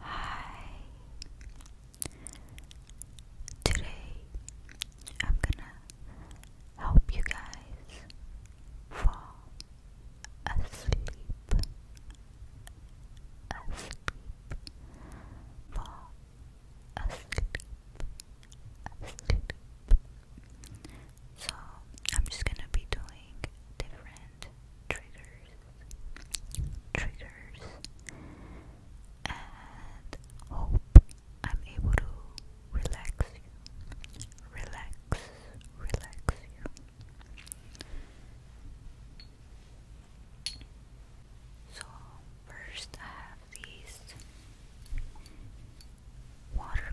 Hi. Today I'm gonna help you guys fall asleep. Asleep. Fall asleep. Asleep. So I'm just gonna be doing different and triggers, triggers, and hope I'm able to relax you, relax, relax you. So first I have these water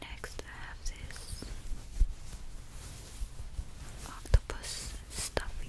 Next, I have this octopus stuffing.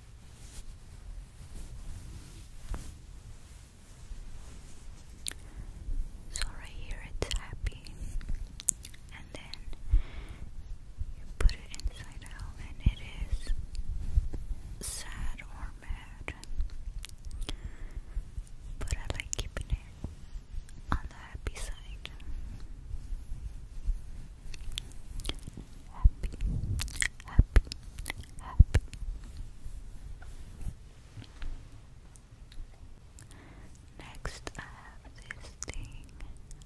So right here it's happy, and then you put it inside out, and it is sad or mad. But I like keeping it on the happy side happy, happy, happy. Next, I have this thing.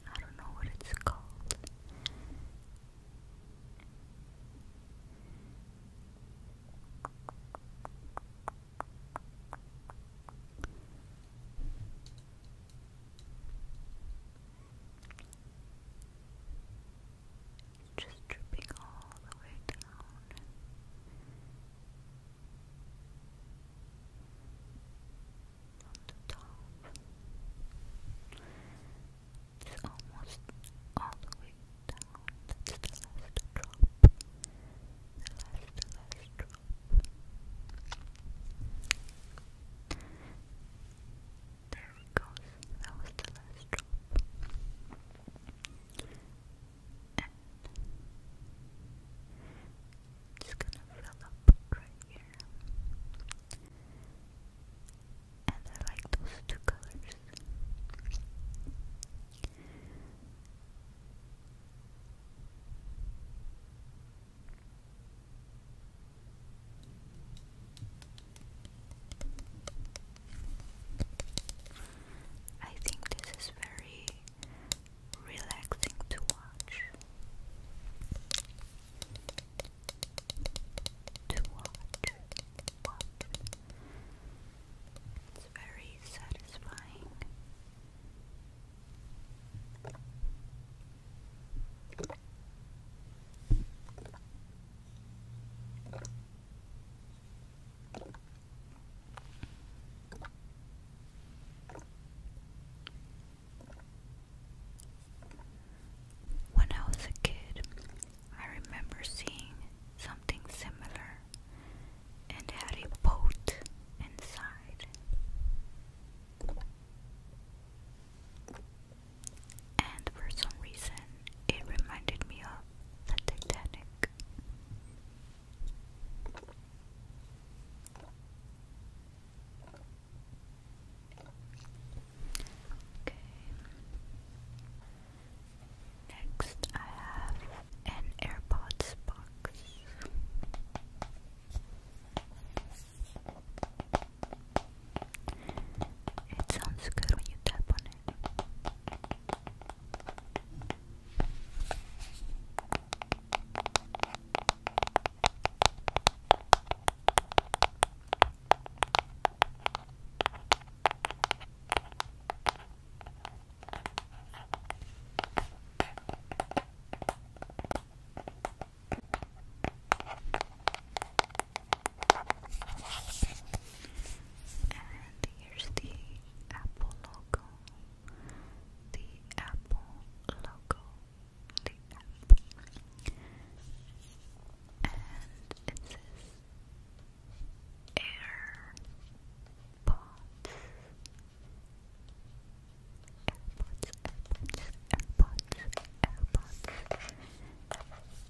I don't know what it's called. Just dripping all the way down. On the top. It's almost all the way down. That's the last drop. The last, last drop. There goes. That was the last drop. And gonna fill up right here. And I like those two colors. I think this is very relaxing to watch. To watch, It's very satisfying. When I was a kid, I remember seeing something similar and had a boat inside and for some reason it reminded me of the Titanic. Okay. Next, I have an AirPods box. It sounds good when you tap on it. And here's the Apple logo. The Apple logo. The Apple. And it says AirPods. AirPods, AirPods, AirPods, AirPods.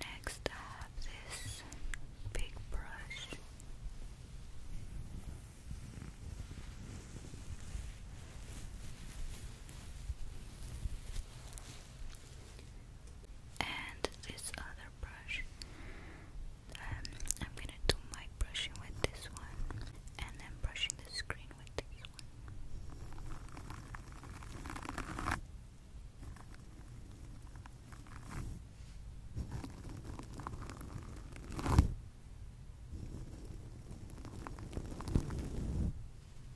Next, I have big brush and this other brush. Um, I'm gonna do my brushing with this one, and then brushing the screen with this one.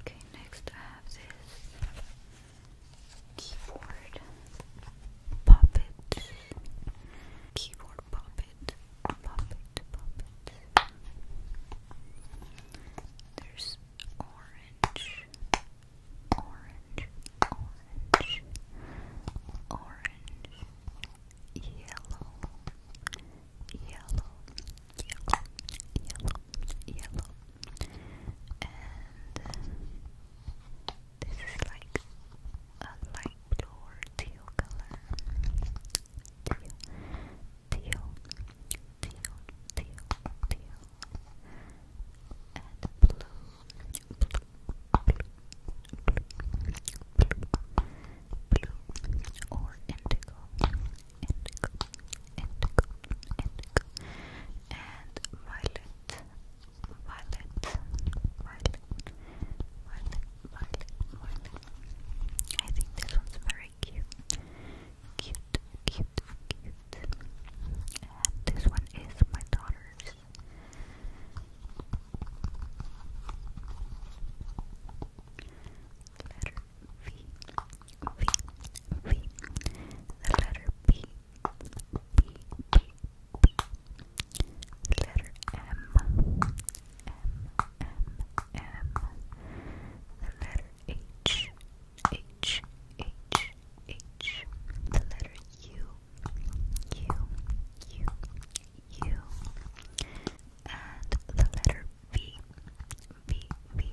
Okay, next I have this keyboard puppet, keyboard puppet, puppet, puppet. There's orange, orange, orange, orange, yellow, yellow, yellow, yellow, yellow and uh, this is like a light blue teal color. Teal, teal, teal, teal, teal, and blue, blue, blue, blue, blue, or indigo, indigo, indigo, indigo and violet, violet, violet, violet, violet, violet. I think this one's very cute, cute, cute, cute. And this one is my daughter's. Letter V, V, V. The letter B letter M, M, M, M, the letter H, H, H, H, the letter U, U, U, U, and the letter V, V, V,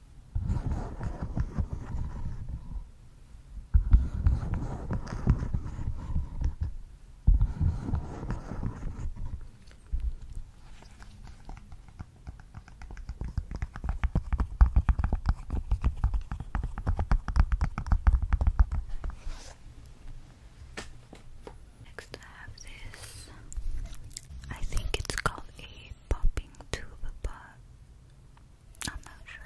Next, I have this. I think it's called a popping tube, but I'm not sure.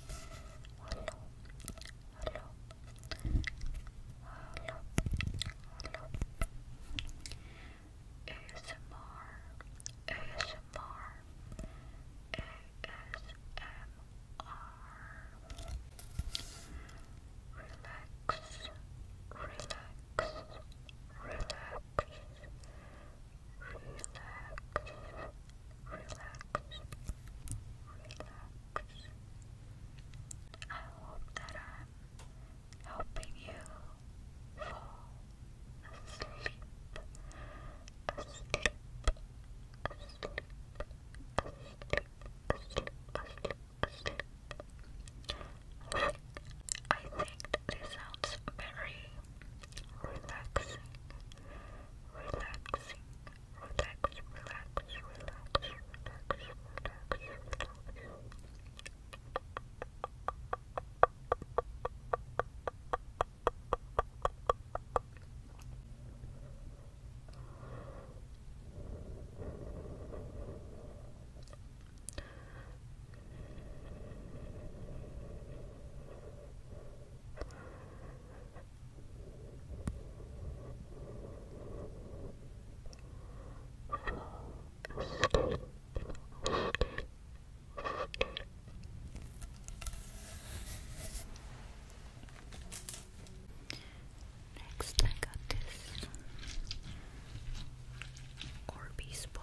hello, hello, hello, hello. ASMR, ASMR, ASMR. Relax, relax, relax relax. I hope that I'm helping you fall asleep, asleep, asleep, asleep, asleep, asleep, asleep. I think this sounds very relaxing relaxing, relax, relax, relax, relax, relax, relax. Next, I got this Orbeez bomb.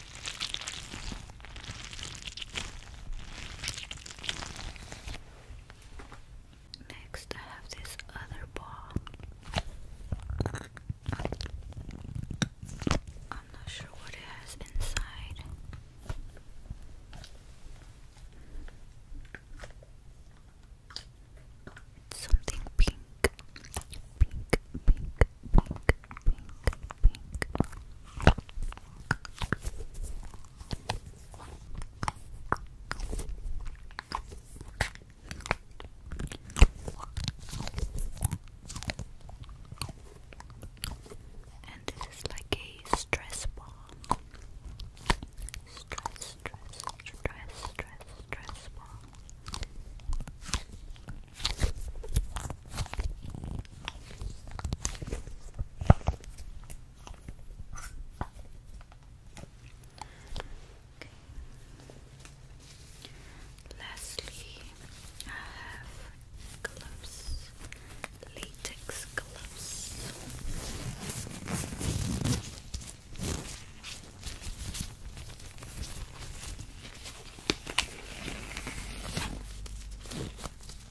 Next, I have this other ball. I'm not sure what it has inside. something pink, pink, pink, pink, pink. And this is like a stress ball. Stress, stress, stress, stress, stress ball. Lastly, I have gloves, latex gloves.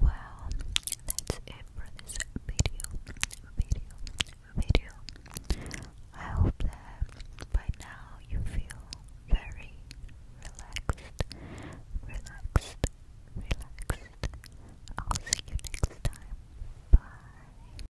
Well, that's it for this video, video, video. I hope that by now you feel very relaxed, relaxed, relaxed. I'll see you next time. Bye.